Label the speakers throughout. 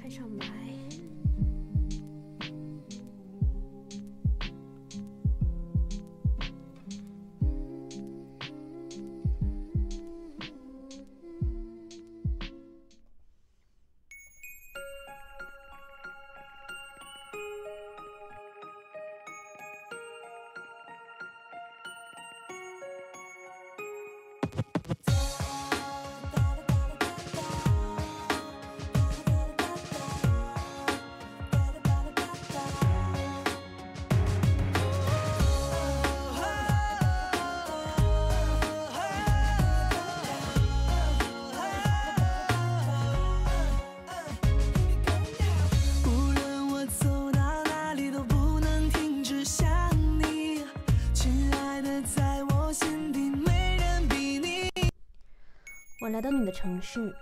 Speaker 1: 开场白。
Speaker 2: 无论我走到哪里，都不能停止想你。亲爱的，在我心底没人比
Speaker 1: 我来到你的城市，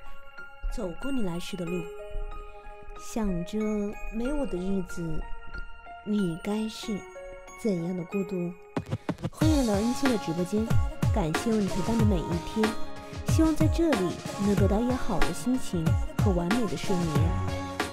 Speaker 1: 走过你来时的路，想着没我的日子，你该是怎样的孤独。欢迎来到恩熙的直播间，感谢有你陪伴的每一天，希望在这里能得到一个好的心情和完美的睡眠。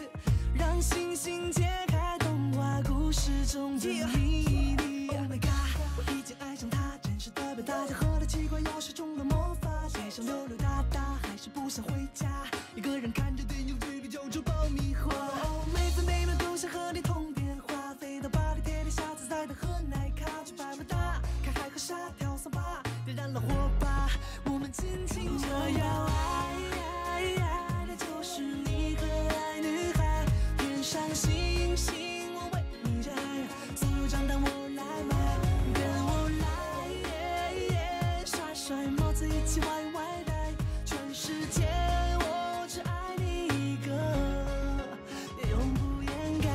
Speaker 2: 让星星解开童话故事中的秘密。Oh my god，我已经爱上他，真实的表达。家喝了奇怪药水中的魔法，街上溜溜达达，还是不想回家。一个人看着电影，嘴里嚼着爆米花。Oh，每分每秒都想和你通电话，飞到巴黎，铁塔，下子在的喝奶咖，去百慕达看海和沙，跳桑巴，点燃了火把。我们尽情着摇爱爱爱的就是你可爱女孩。天上星星我为你摘，所有账单我来买，跟我来，甩甩帽子一起歪歪戴。全世界我只爱你一个，永不掩盖。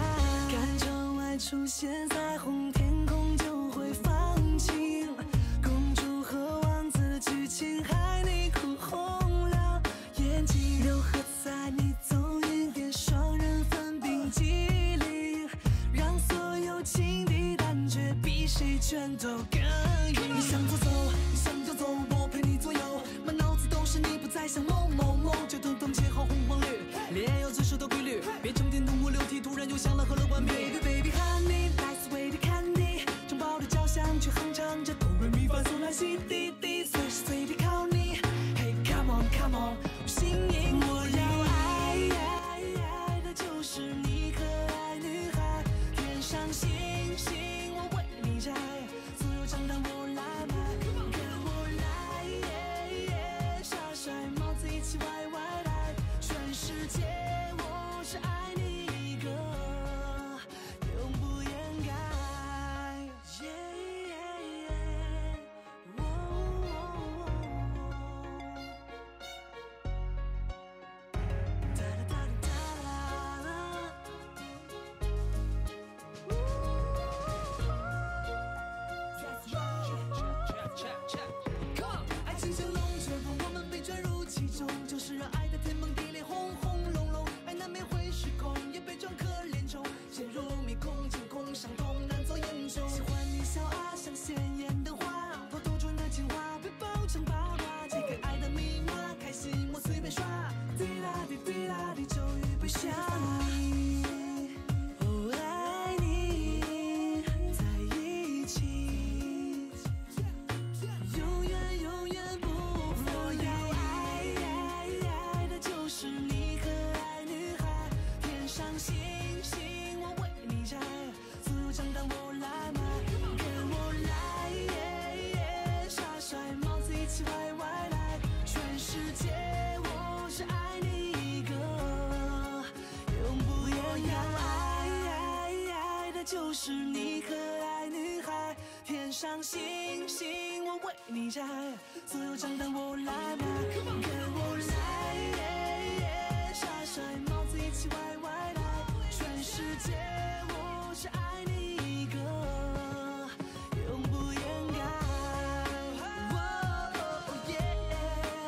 Speaker 2: 看窗外出现。红天空就会放晴，公主和王子剧情害你哭红了眼睛。六合在你走一点，双人分冰激凌，让所有情敌胆怯，比谁拳头更硬。你向左走，你向左走，我陪你左右，满脑子都是你，不再想某某某，就统统切换红黄绿，恋爱有遵守的规律。别冲天痛哭流涕，突然就想了喝了乐观。Baby baby honey，sweet candy，城堡的交响曲哼唱着 p o u r i me from 苏来西滴滴，随时随地靠你。Hey，come on，come on，我心已。我要爱爱爱的就是你，可爱女孩。天上星星我为你摘，所有账单我来付，Come on，跟我来。戴帽子，一起歪歪戴，全世界我只爱你一个，永不掩盖。爱情像龙卷风，我们被卷入其中，就是让爱的天崩地裂，轰轰隆隆。爱难免会失控，也被装可怜虫，陷入迷宫，惊恐伤痛，难做英雄。喜欢你笑啊，像鲜艳的花，破土出的情话，被包成八卦，解个爱的密码，开心我随便刷。滴啦滴滴啦，你终于被下。你，我爱你，在一起。永远永远不分离。我要爱爱的就是你可爱女孩，天上星星我为你摘，所有我来买，跟我来，帅帽子一起歪歪全世界我只爱你一个。永我要爱爱爱的就是你可爱女孩，天上星星我为你摘，所有账单我来买，跟我来，耍帅帽子一起歪歪戴，全世界我只爱你一个，永不掩盖。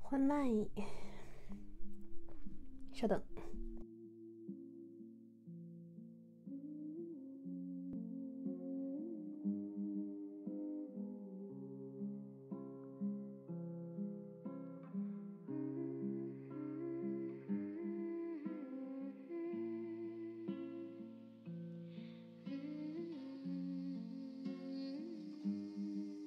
Speaker 1: 换慢一点，稍等。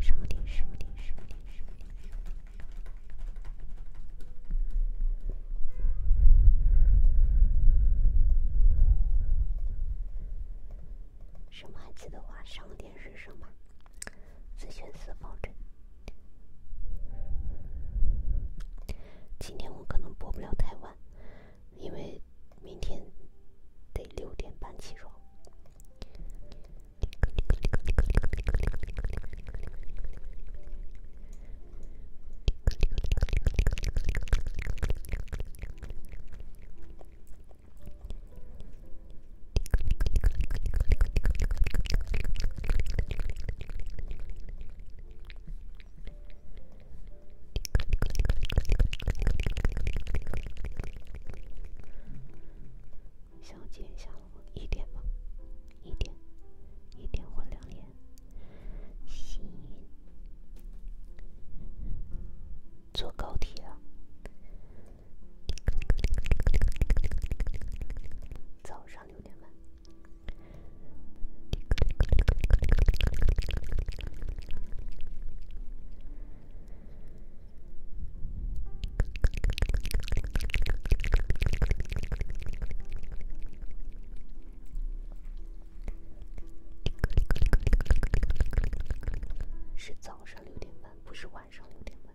Speaker 1: 商店，商店，商店，商店，商店。什么还记得话？商店是什么？自选四方针。今天我可能播不了太晚，因为明天得六点半起床。下午几点？下午一点吗？一点，一点或两点。行，坐高铁了。早上六点半。是早上六点半，不是晚上六点半。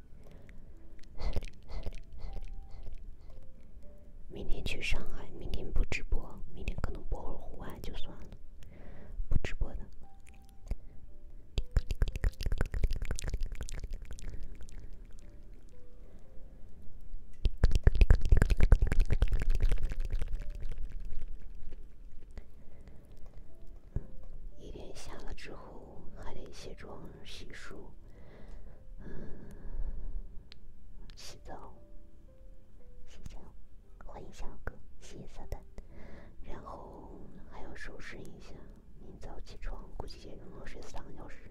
Speaker 1: 明天去上海，明天不直播，明天可能播会户外，就算了，不直播的。一天下了之后，还得卸妆、洗漱、洗澡、洗脚。欢迎小哥，洗色蛋。然后还要收拾一下，明早起床估计也用睡三个小时。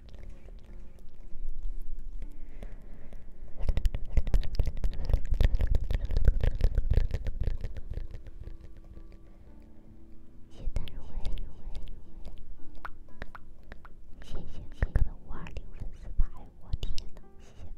Speaker 1: 谢丹若，谢谢谢哥的五二零粉丝牌，我天哪，谢谢哥！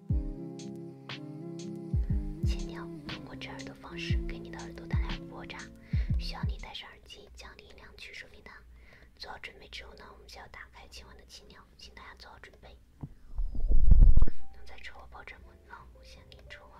Speaker 1: 青鸟通过震耳朵的方式给你的耳朵带来波炸，需要你戴上耳机降低音量去收听它。做好准备之后呢，我们就要打开今晚的青鸟，请大家做好准备。能在车祸爆炸中幸免于出啊！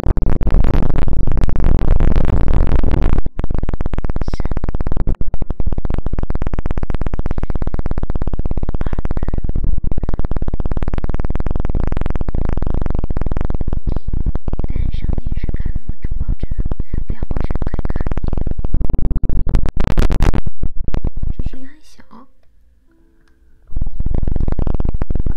Speaker 3: 三二一，上电视看那种报纸，两报纸可以看一遍。这声音很小。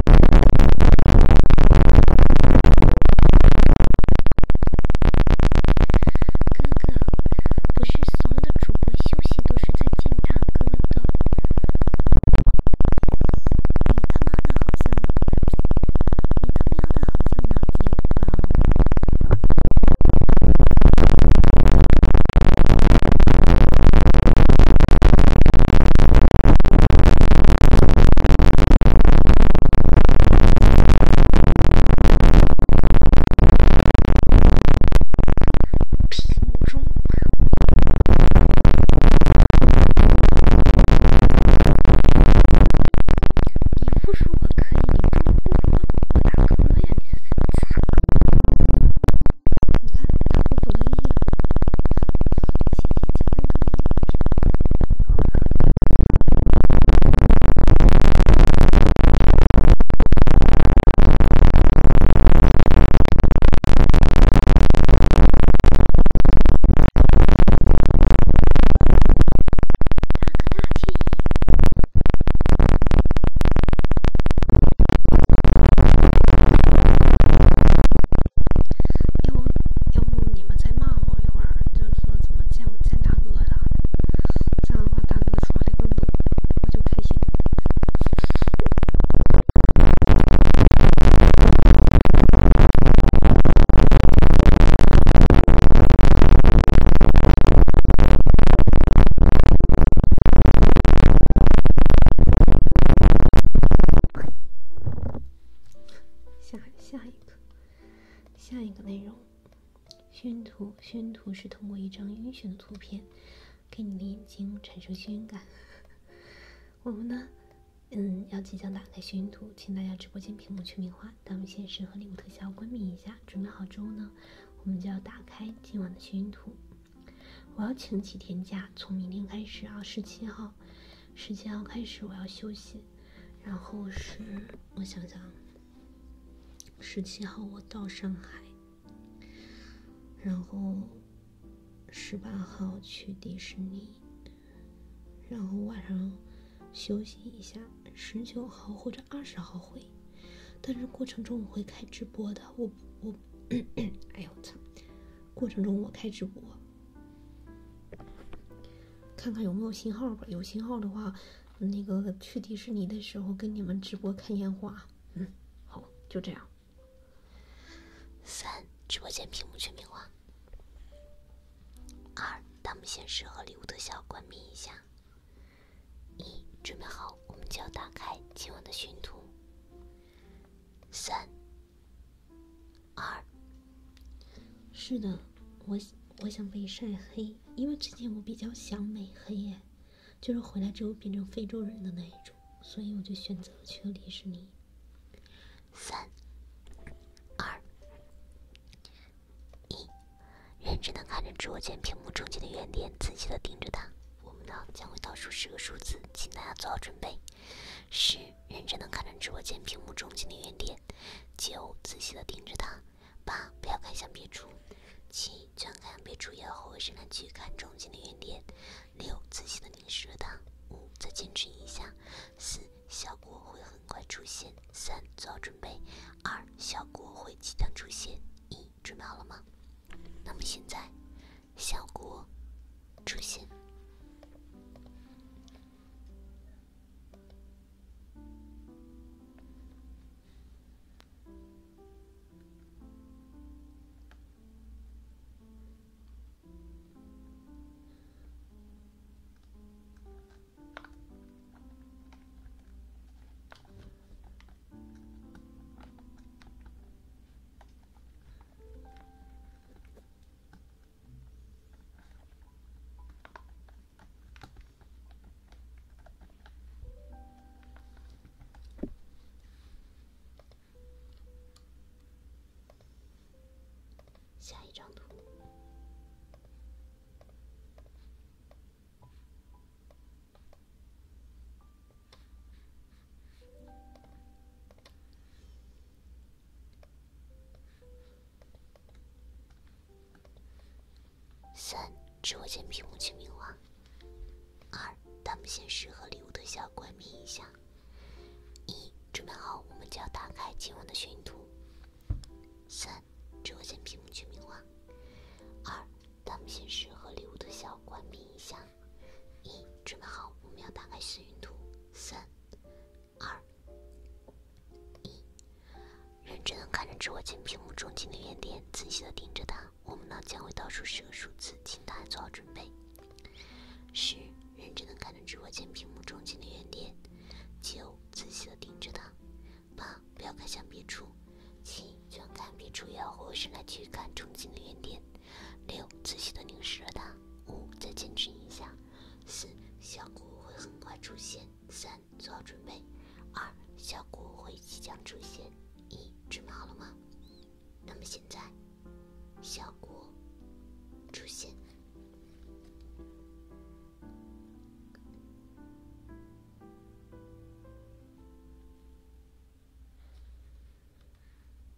Speaker 3: 哥哥，不是所有的主播休息都是在见大哥的。你他妈的好像，你他喵的好像脑子有毛病。屏幕中文。你复述我可以，你重复不？我大哥呀，你这操！你看，他得意了。你先先简单跟他一个直播，一会儿。他大建议。
Speaker 1: 要不，要不你们再骂我一会儿，就说怎么见见大哥啥的，这样的话大哥抓的更多了，我就开心了。下下一个下一个内容，眩图眩图是通过一张晕眩的图片，给你的眼睛产生眩晕感。我们呢，嗯，要即将打开眩晕图，请大家直播间屏幕全民化，弹幕限时和礼物特效关闭一下，准备好之后呢，我们就要打开今晚的眩晕图。我要请几天假，从明天开始啊，十七号，十七号开始我要休息。然后是我想想，十七号我到上海，然后十八号去迪士尼，然后晚上休息一下，十九号或者二十号回。但是过程中我会开直播的，我我，哎呦我操！过程中我开直播，看看有没有信号吧。有信号的话，那个去迪士尼的时候跟你们直播看烟花。嗯，好，就这样。三，直播间屏幕全屏化。二，弹幕显示和礼物特效关闭一下。一，准备好，我们就要打开今晚的巡图。三。二，是的，我我想被晒黑，因为之前我比较想美黑耶，就是回来之后变成非洲人的那一种，所以我就选择了去了迪士尼。三、二、一，认真的看着直播间屏幕中间的圆点，仔细的盯着它。我们呢将会倒数十个数字，请大家做好准备。十，认真的看着直播间屏幕中心的原点；九，仔细的盯着它；八，不要看向别处；七，转开别处，然后回身来看中心的原点；六，仔细的凝视着它；五，再坚持一下；四，效果会很快出现；三，做好准备；二，效果会即将出现；一，准备好了吗？那么现在。小国出现。下一张图。三，直播间屏幕全民化。二，弹幕显示和礼物特效关闭一下。一，准备好，我们就要打开今晚的晕图。三，直播间屏幕全民化。二，弹幕显示和礼物特效关闭一下。一，准备好，我们要打开幸运图。三、二、一，认真的看着直播间屏幕中间的圆点，仔细的盯着它。我们呢将会倒数十个数字，请大家做好准备。十，认真的看着直播间屏幕中间的圆点。九，仔细的盯着它。八，不要看向别处。七，就然看别处，也要活生来的去看中间的圆点。六，仔细的凝视着它。五，再坚持一下。四，效果会很快出现。三，做好准备。二，效果会即将出现。一，准备好了吗？那么现在，效果出现。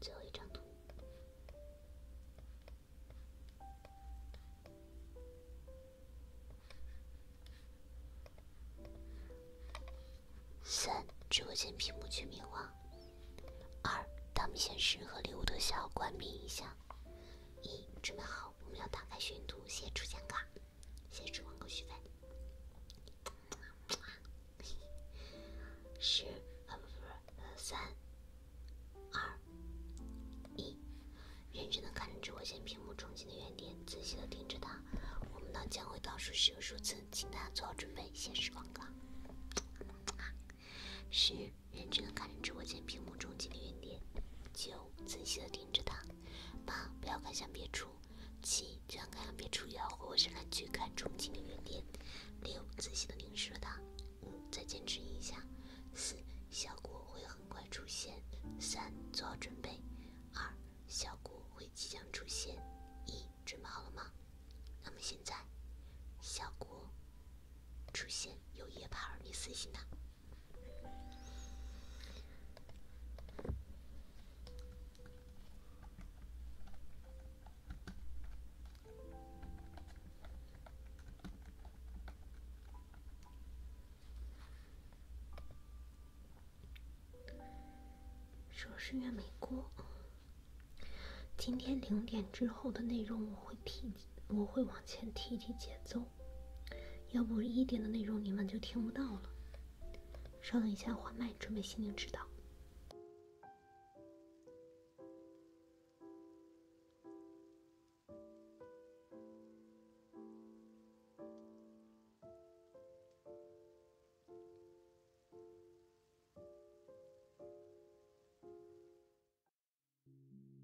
Speaker 1: 最后一张图。三，直播间屏幕全灭亡。二，弹幕显示和礼物特效关闭一下。一，准备好，我们要打开巡图，写出奖卡。先吃广告续费。十，呃，不不呃，三，二，一，认真的看着直播间屏幕中心的圆点，仔细的盯着它。我们呢将会倒数十个数字，请大家做好准备。先吃广告。十，认真的看着直播间屏幕中间的圆点，九，仔细的盯着它。八不要看向别处。七，居然看向别处要回过身来去看憧憬的圆点。六，仔细的凝视了它。五，再坚持一下。四，效果会很快出现。三，做好准备。二，效果会即将出现。一，准备好了吗？那么现在，效果出现，有夜帕尔，你死心吧。硕士院没过。今天零点之后的内容，我会提，我会往前提提节奏。要不一点的内容你们就听不到了。稍等一下，换麦，准备心灵指导。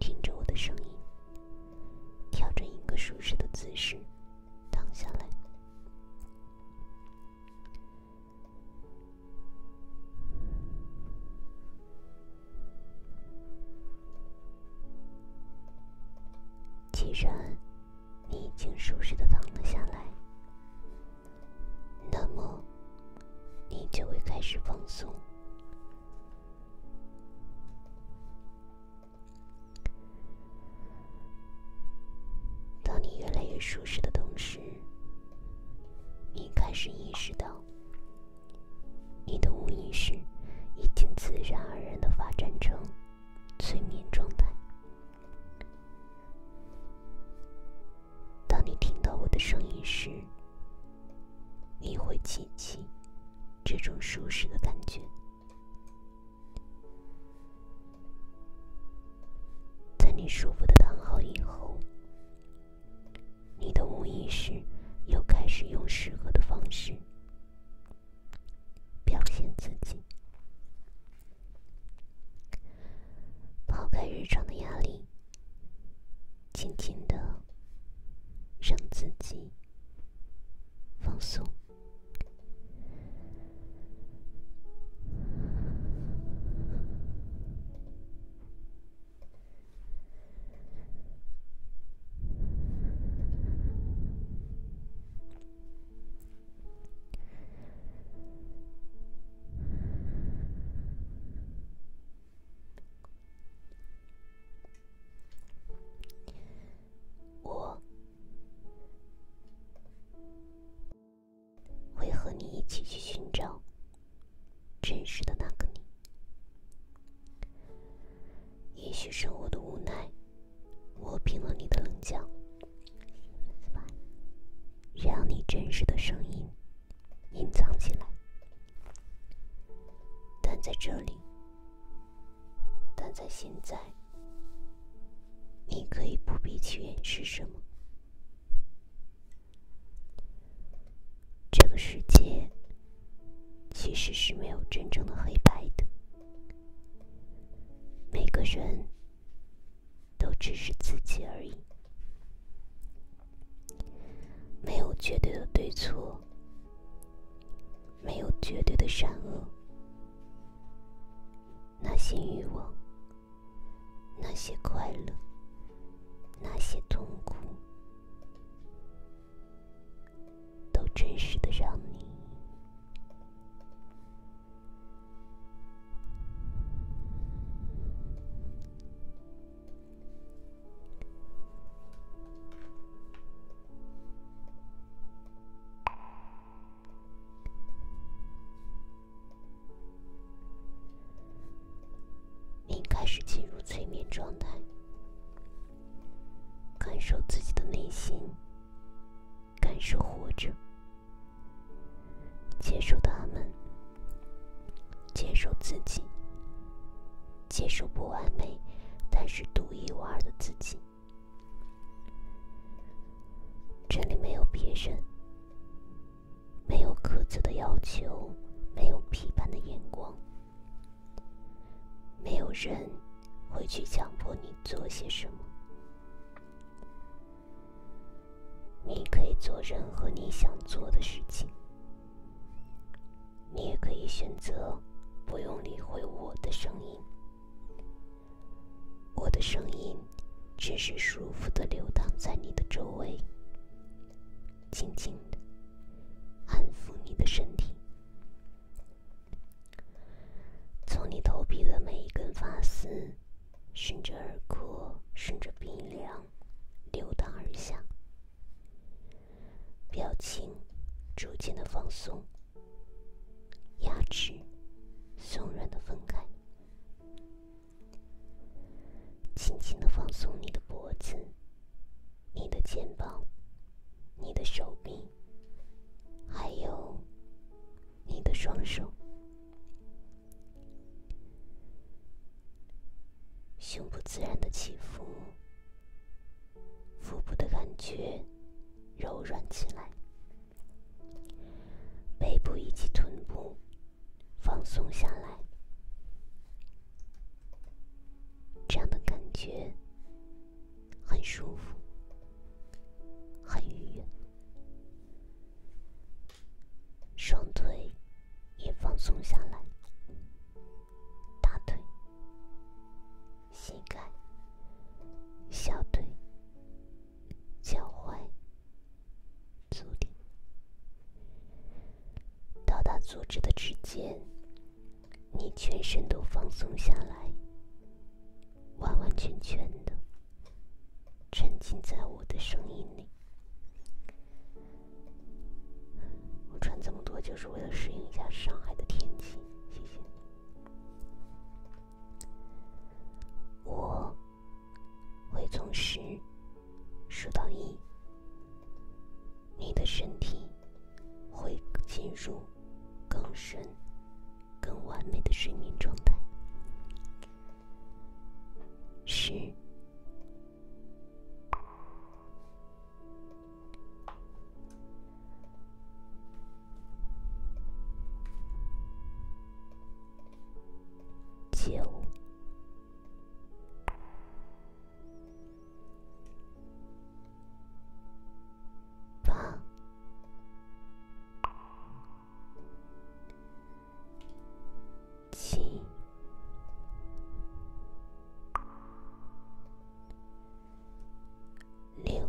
Speaker 1: 听着我的声音，调整一个舒适的姿势，躺下来。既然你已经舒适的躺了下来，那么你就会开始放松。当你越来越舒适的同时，你开始意识到。你的无意识已经自然而然的发展成催眠状态。当你听到我的声音时，你会记起这种舒适的感觉。在你舒服的躺好以后。你的无意识又开始用适合的方式表现自己，抛开日常的压力，静静的让自己放松。我会和你一起去寻找。真实的那个你，也许生活的无奈磨平了你的棱角，让你真实的声音隐藏起来。但在这里，但在现在，你可以不必去掩饰什么。这个世界其实是没有真正的黑白的，每个人都只是自己而已，没有绝对的对错，没有绝对的善恶，那些欲望。那些快乐，那些痛苦，都真实的让你。你开始进入催眠状态，感受自己的内心，感受活着，接受他们，接受自己，接受不完美，但是独一无二的自己。这里没有别人。没有苛责的要求，没有批判的眼光，没有人会去强迫你做些什么。你可以做任何你想做的事情，你也可以选择不用理会我的声音。我的声音只是舒服的流淌在你的周围。轻轻的安抚你的身体，从你头皮的每一根发丝，顺着耳廓，顺着鼻梁，流淌而下。表情逐渐的放松，牙齿松软的分开。轻轻的放松你的脖子、你的肩膀、你的手臂，还有你的双手。胸部自然的起伏，腹部的感觉柔软起来，背部以及臀部放松下来。这样的感觉很舒服，很愉悦，双腿也放松下来，大腿、膝盖、小腿、脚踝。足底，到达组织的指尖，你全身都放松下来，完完全全的沉浸在我的声音里。我穿这么多就是为了适应一下上海的天气，谢谢。我会从十。数到一，你的身体会进入更深、更完美的睡眠状态。十、九。八七
Speaker 3: 六。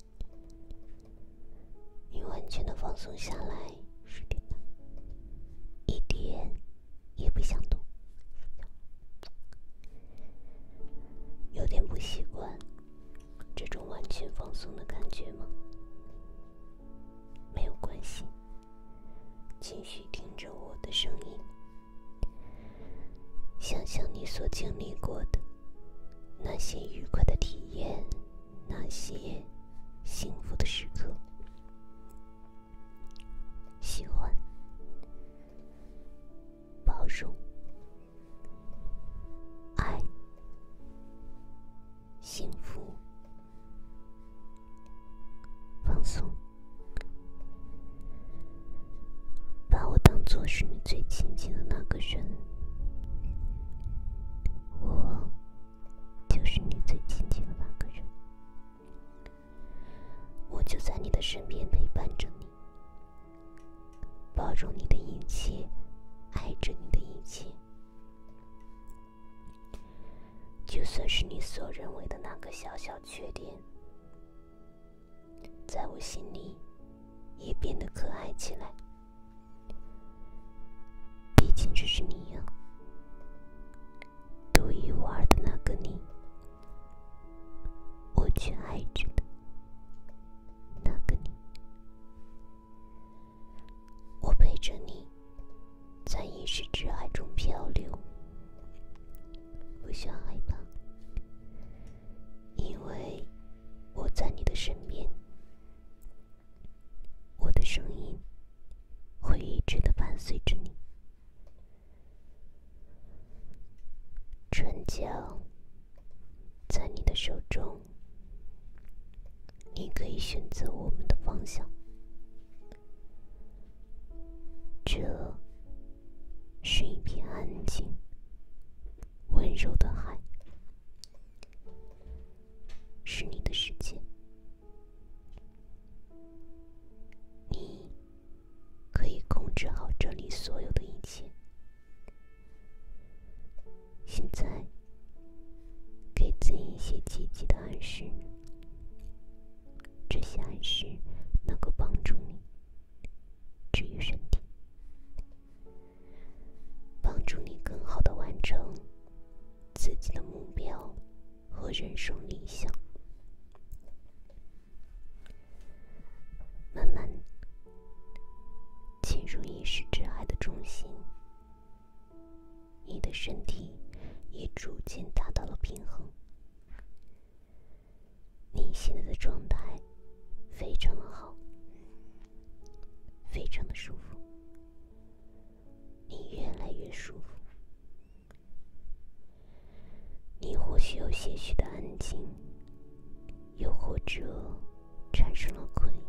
Speaker 1: 你完全的放松下来，十点半，一点也不想动，有点不习惯这种完全放松的感觉吗？没有关系，继续听着我的声音。想想你所经历过的那些愉快的体验，那些幸福的时刻，喜欢、包容、爱、幸福、放松。把我当做是你最亲近的那个人，我就是你最亲近的那个人，我就在你的身边陪伴着你，包容你的一切，爱着你的一切，就算是你所认为的那个小小缺点。在我心里，也变得可爱起来。毕竟，这是你呀，独一无二的那个你，我却爱着的。那个你，我陪着你，在一时之海中漂流，不需要害怕，因为。我在你的身边，我的声音会一直的伴随着你。唇角在你的手中，你可以选择我们的方向。这是一片安静。温柔的海，是你的世界。你可以控制好这里所有的一切。现在，给自己一些积极的暗示。这些暗示能够帮助你治愈身体。帮助你更好的完成自己的目标和人生理想，慢慢进入意识之海的中心，你的身体也逐渐达到了平衡。你现在的状态非常的好，非常的舒服。你越来越舒服，你或许有些许的安静，又或者产生了困，意，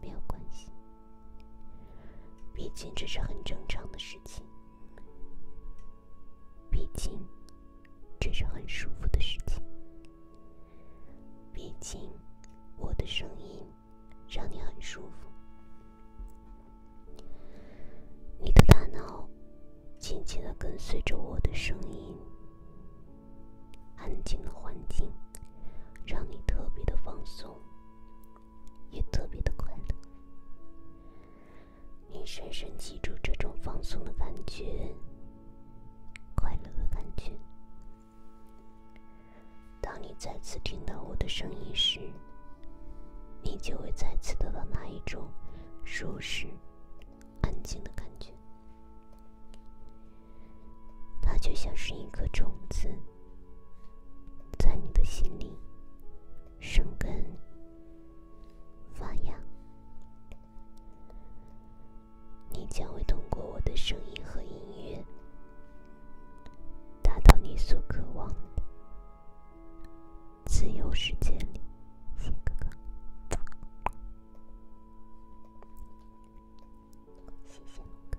Speaker 1: 没有关系，毕竟这是很正常的事情，毕竟。这是很舒服的事情，毕竟我的声音让你很舒服，你的大脑静静的跟随着我的声音，安静的环境让你特别的放松，也特别的快乐。你深深记住这种放松的感觉、快乐的感觉。当你再次听到我的声音时，你就会再次得到那一种舒适、安静的感觉。它就像是一颗种子，在你的心里生根。发芽，你将会通过我的声音和音乐，达到你所渴望的自由世界里。谢谢哥哥，谢谢哥。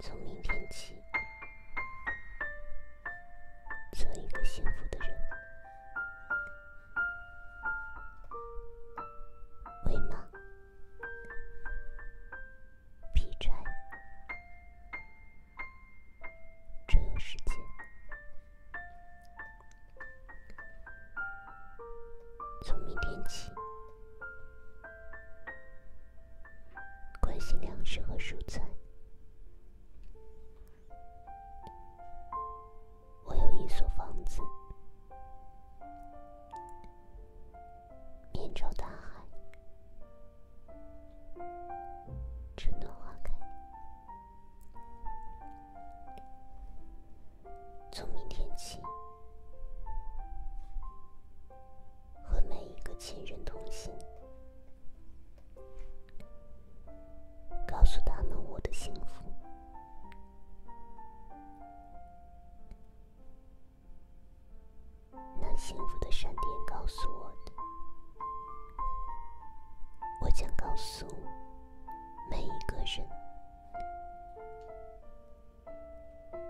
Speaker 1: 从明天起，做一个幸福的人，喂马，劈柴，周游世界。从明天起。关心粮食和蔬菜。我有一所房子，面朝大海，春暖花开。从明天起。和每一个亲人通信，告诉他们我的幸福。那幸福的闪电告诉我的，我将告诉每一个人。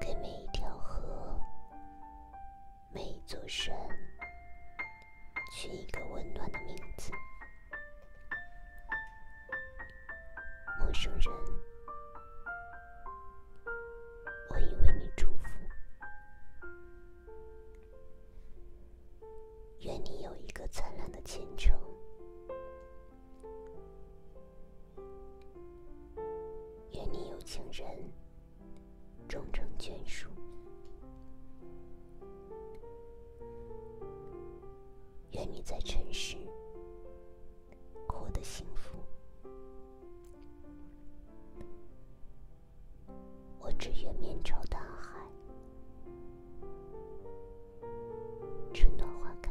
Speaker 1: 给每一条河，每一座山取一个温暖的名字。陌生人，我以为你祝福，愿你有一个灿烂的前程。愿你有情人终成眷属，愿你在尘世活得幸福。我只愿面朝大海，春暖花开。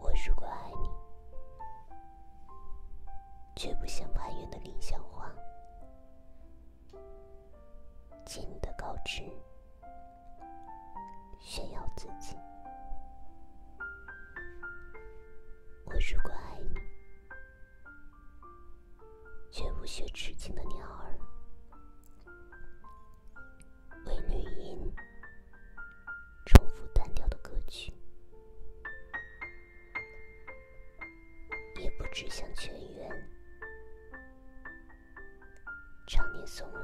Speaker 1: 我如果爱你，绝不像攀援的凌霄花，借你的高枝炫耀自己。我如果爱你，绝不学痴情的鸟儿。为女音重复单调的歌曲，也不止像泉源，常年送来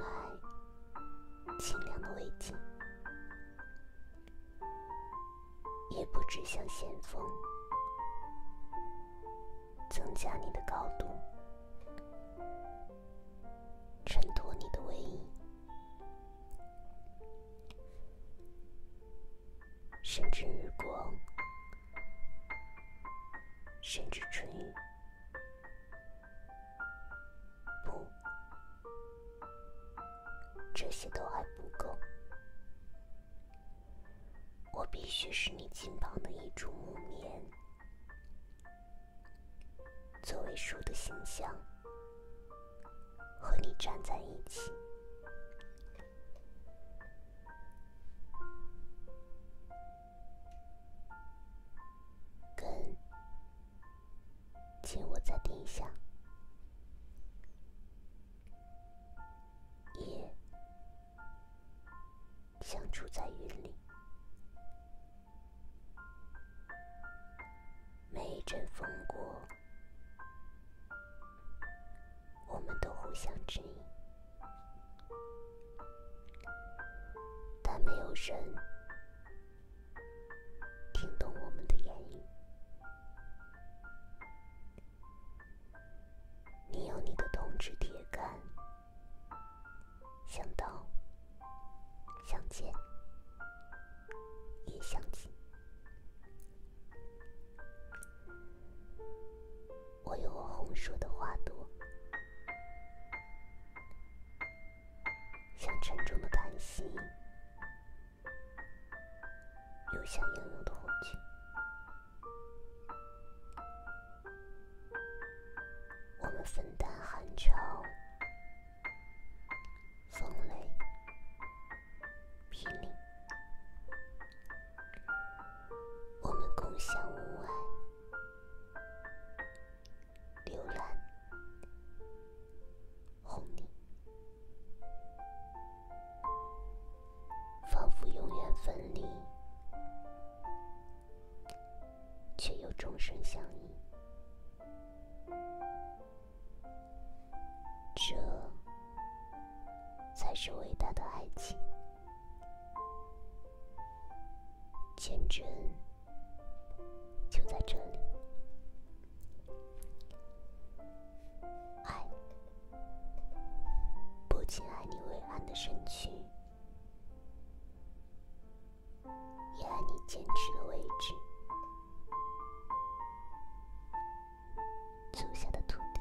Speaker 1: 清凉的慰藉；也不止像先锋增加你的高度，衬托你的威仪，甚至日光，甚至春雨，不，这些都还不够。我必须是你近旁的一株木棉。作为树的形象，和你站在一起，跟紧握在地下，叶。相处在云里，每一阵风过，我们都互相指引，但没有人听懂我们的言语。你有你的铜枝铁干。想到，想见，也想起。我有我红树的花朵，像沉重的叹息，又像英勇的火炬。我们分担寒潮、风雷、霹雳，我们共享雾霭、流岚、红霓，仿佛永远分离。却又终生相依，这才是伟大的爱情。坚贞就在这里，爱不仅爱你伟岸的身躯。也爱你坚持的位置，足下的土地。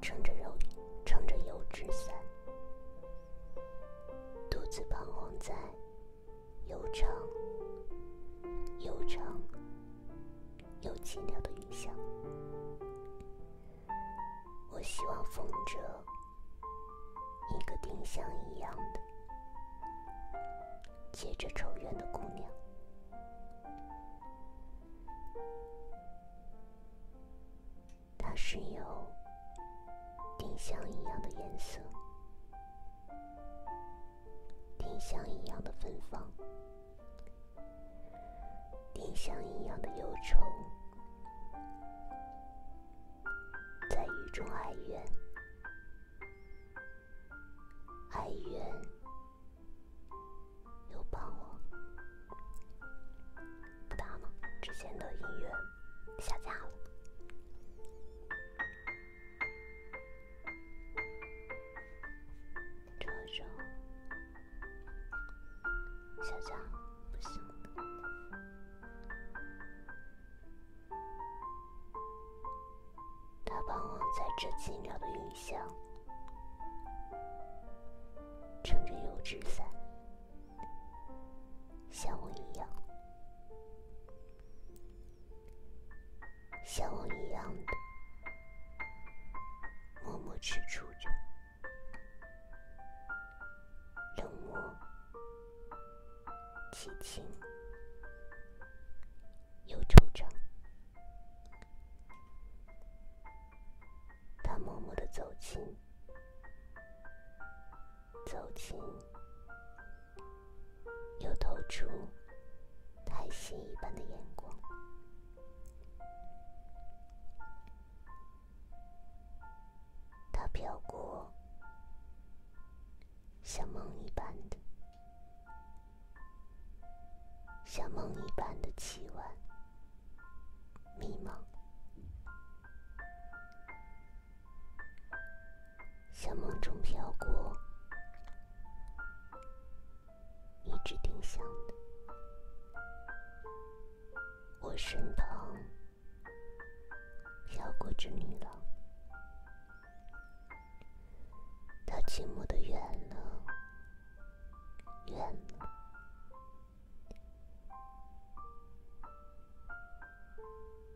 Speaker 1: 撑着油撑着油纸伞，独自彷徨在悠长、悠长又寂寥的雨巷。我希望风着一个丁香一样的，结着愁怨的姑娘。她是有丁香一样的颜色，丁香一样的芬芳。丁香一样的忧愁，在雨中哀怨，哀怨又彷徨。不打了，之前的音乐下架了。这首。小张，不行他往我在这寂寥的雨巷，撑着油纸伞，像我一样，像我一样的默默吃住着。冷漠、寂静、又惆怅。他默默的走近，走近，又透出叹息一般的眼光。它飘过，像梦一般的，像梦一般的凄婉、迷茫，像梦中飘过一直丁香的。我身旁飘过这女郎，她寂寞的远了远了，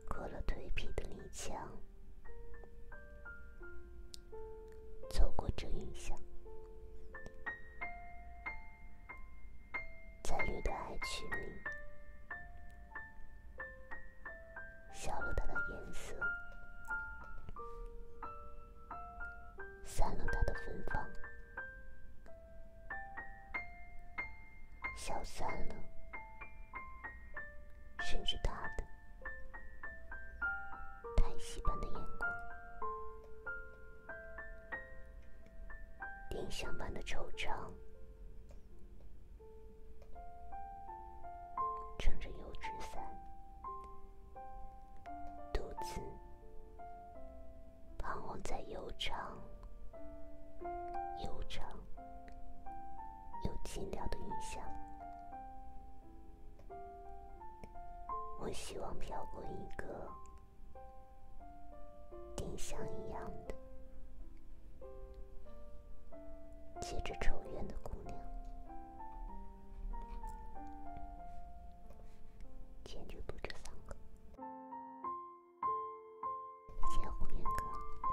Speaker 1: 过了颓圮的篱墙，走过这云霞。在绿的爱曲里，消了它的颜色，散了它的芬芳，消散了，甚至它的叹息般的眼光。丁香般的惆怅，撑着油纸伞，独自彷徨在悠长、悠长又寂寥的云巷。我希望飘过一个。丁香一样的，结着愁怨的姑娘。先就不这三个，谢红颜哥。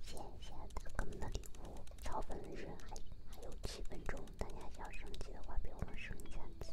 Speaker 1: 谢谢大哥们的礼物，超粉是还还有七分钟，大家要升级的话，给我们升一下级。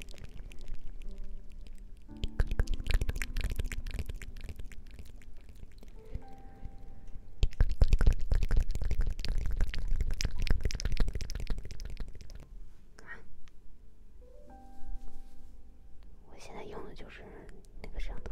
Speaker 1: 我现在用的就是那个摄像头。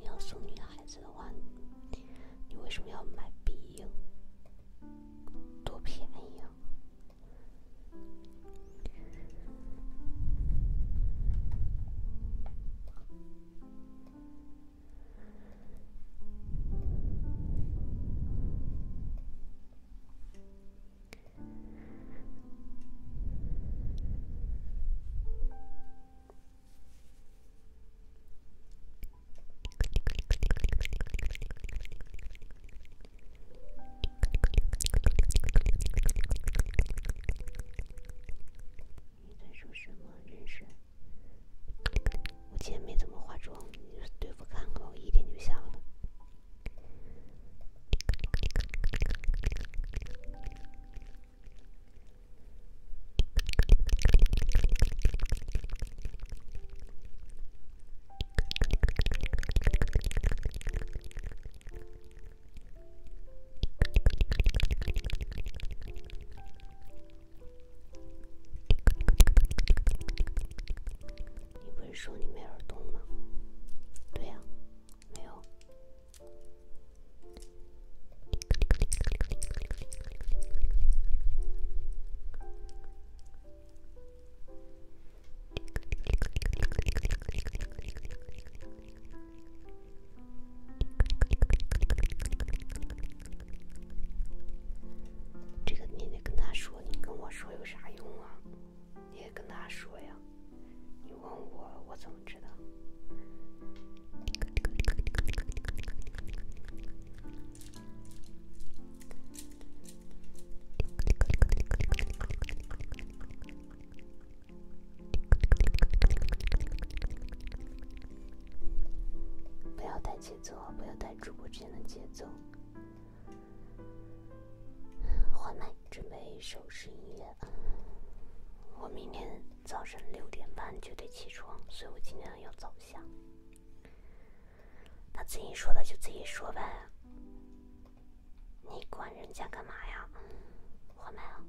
Speaker 1: 你要送女孩子的话。你为什么要买鼻影？多便宜啊！你在说什么？你说，我今天没怎么化妆，你对我看看，我一点就瞎了。你不是说你没耳洞吗？对呀，没有。这个你得跟他说，你跟我说有啥用啊？你也跟他说呀，你问我，我怎么知道？不要带节奏，不要带主播之间的节奏。换麦，准备一首是音乐。我明天。早晨六点半就得起床，所以我尽量要早下。他自己说的就自己说呗，你管人家干嘛呀？换我们。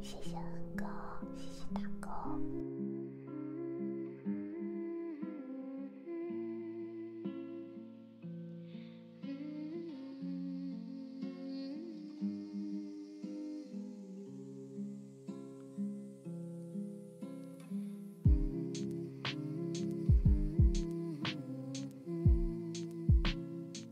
Speaker 3: 谢谢恩哥，谢谢大哥。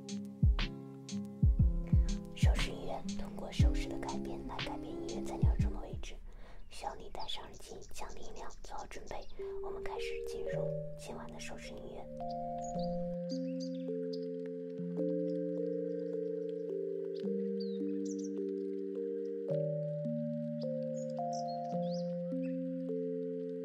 Speaker 1: 手势音乐通过手势的改变来改变音乐在你耳中的位置，需要你戴上耳机，降低音量，做好准备。我们开始进入今晚的手势音乐。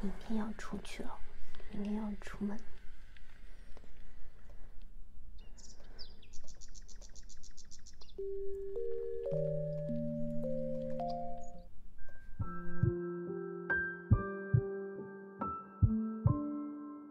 Speaker 1: 明天要出去了，明天要出门。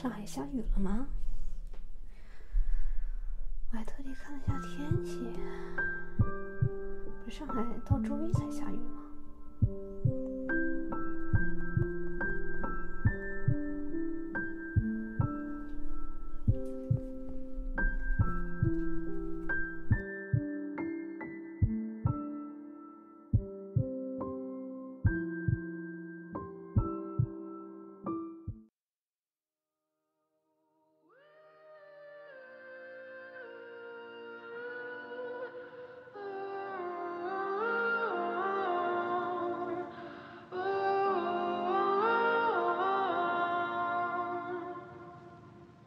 Speaker 1: 上海下雨了吗？我还特地看了一下天气，不，上海到周一才下雨吗？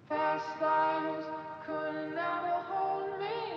Speaker 3: Past lives could never hold me.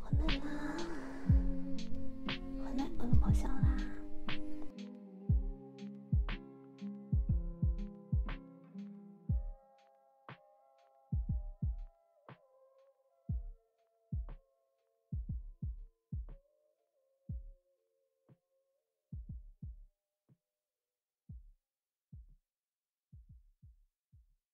Speaker 1: 我来了，我来，我能咆哮啦！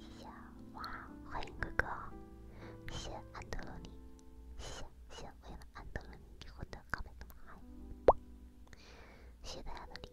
Speaker 3: 谢谢哇，欢迎哥哥！谢谢安德罗尼，谢谢谢谢为了安德罗尼获得高分的麦。シダブリンクリ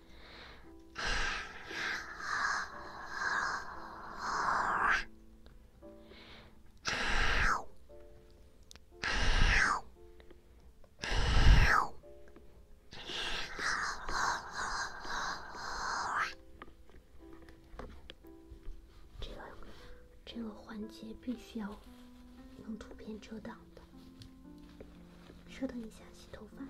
Speaker 1: 这个这个环节必须要用图片遮挡的。稍等一下，洗头发啦。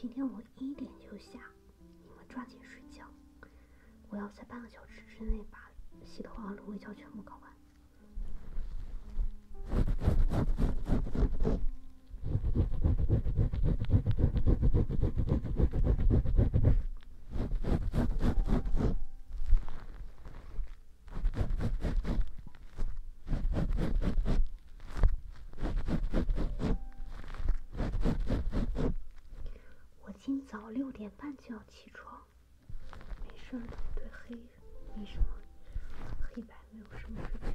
Speaker 1: 今天我一点就下，你们抓紧睡觉。我要在半个小时之内把洗头和芦荟胶全部搞完。我今早六点半就要起床，没事儿，对黑没什么，黑白没有什么事情。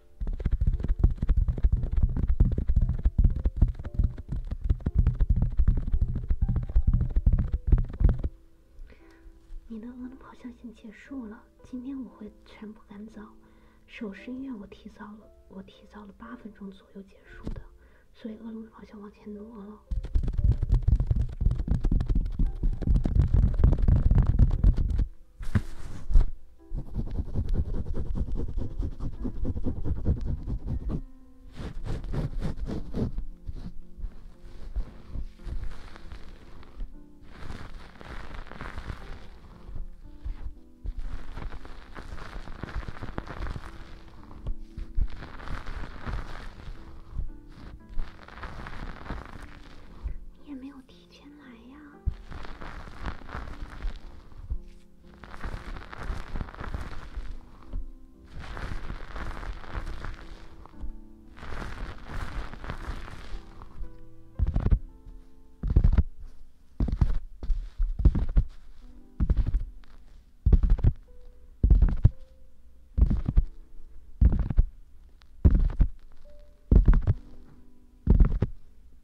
Speaker 1: 你的恶龙咆哮线结束了，今天我会全部赶早。手术院我提早了，我提早了八分钟左右结束的，所以恶龙好像往前挪了。你也没有听。先来呀。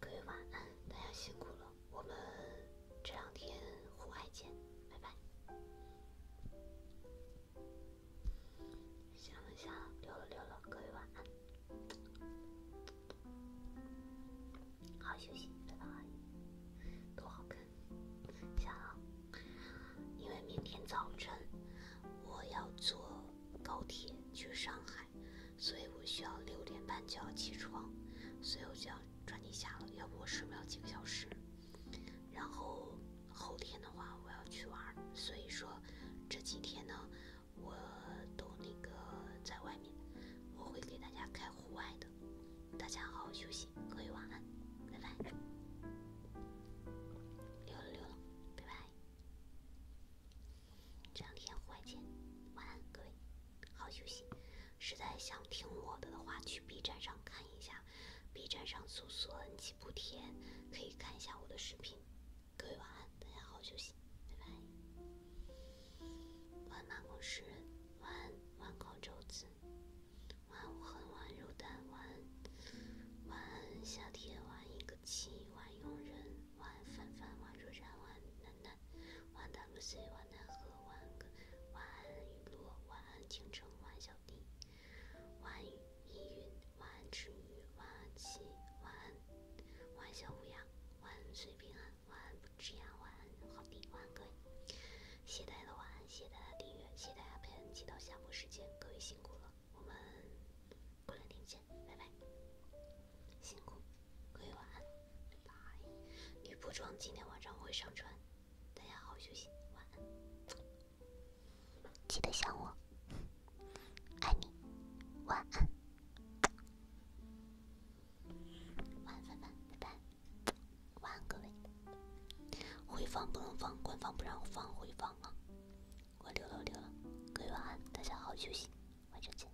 Speaker 1: 各位晚安，大家辛苦了。我们这两天户外见，拜拜。下了下溜了溜了，各位晚安，好好休息。多好看！想，因为明天早晨我要做。高铁去上海，所以我需要六点半就要起床，所以我就要抓紧下了，要不我睡不了几个小时。然后后天的话我要去玩，所以说这几天呢我都那个在外面，我会给大家开户外的。大家好好休息，各位晚安，拜拜，溜了溜了，拜拜。这两天花见，晚安各位，好休息。实在想听我的的话，去 B 站上看一下，B 站上搜索“ n 七不天”，可以看一下我的视频。各位晚安，大家好休息，拜拜。晚安，办公室，晚安，晚安，高周子，晚安，我恨晚安，肉蛋，晚安，晚安，夏天晚安，一个。晚佣人，晚饭饭，晚若然，晚楠楠，晚大不西，晚奈何，晚哥，晚雨落，晚安清晨，晚小弟，晚意云，晚安之余，晚安七，晚安，晚小乌鸦，晚岁平安，晚不知涯，晚好弟，晚哥，谢谢大家的晚安，谢大家订阅，谢大家陪伴，期待下播时间各位辛苦了。我们过两天见，拜拜。辛苦，各位晚安，拜拜。女仆装今天晚上我会上传，大家好好休息，晚安。记得想我，爱你，晚安。晚安，范范，拜拜。晚安，各位。回放不能放，官方不让放回放啊。我溜了，溜了，各位晚安，大家好好休息，晚上见，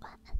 Speaker 1: 晚安。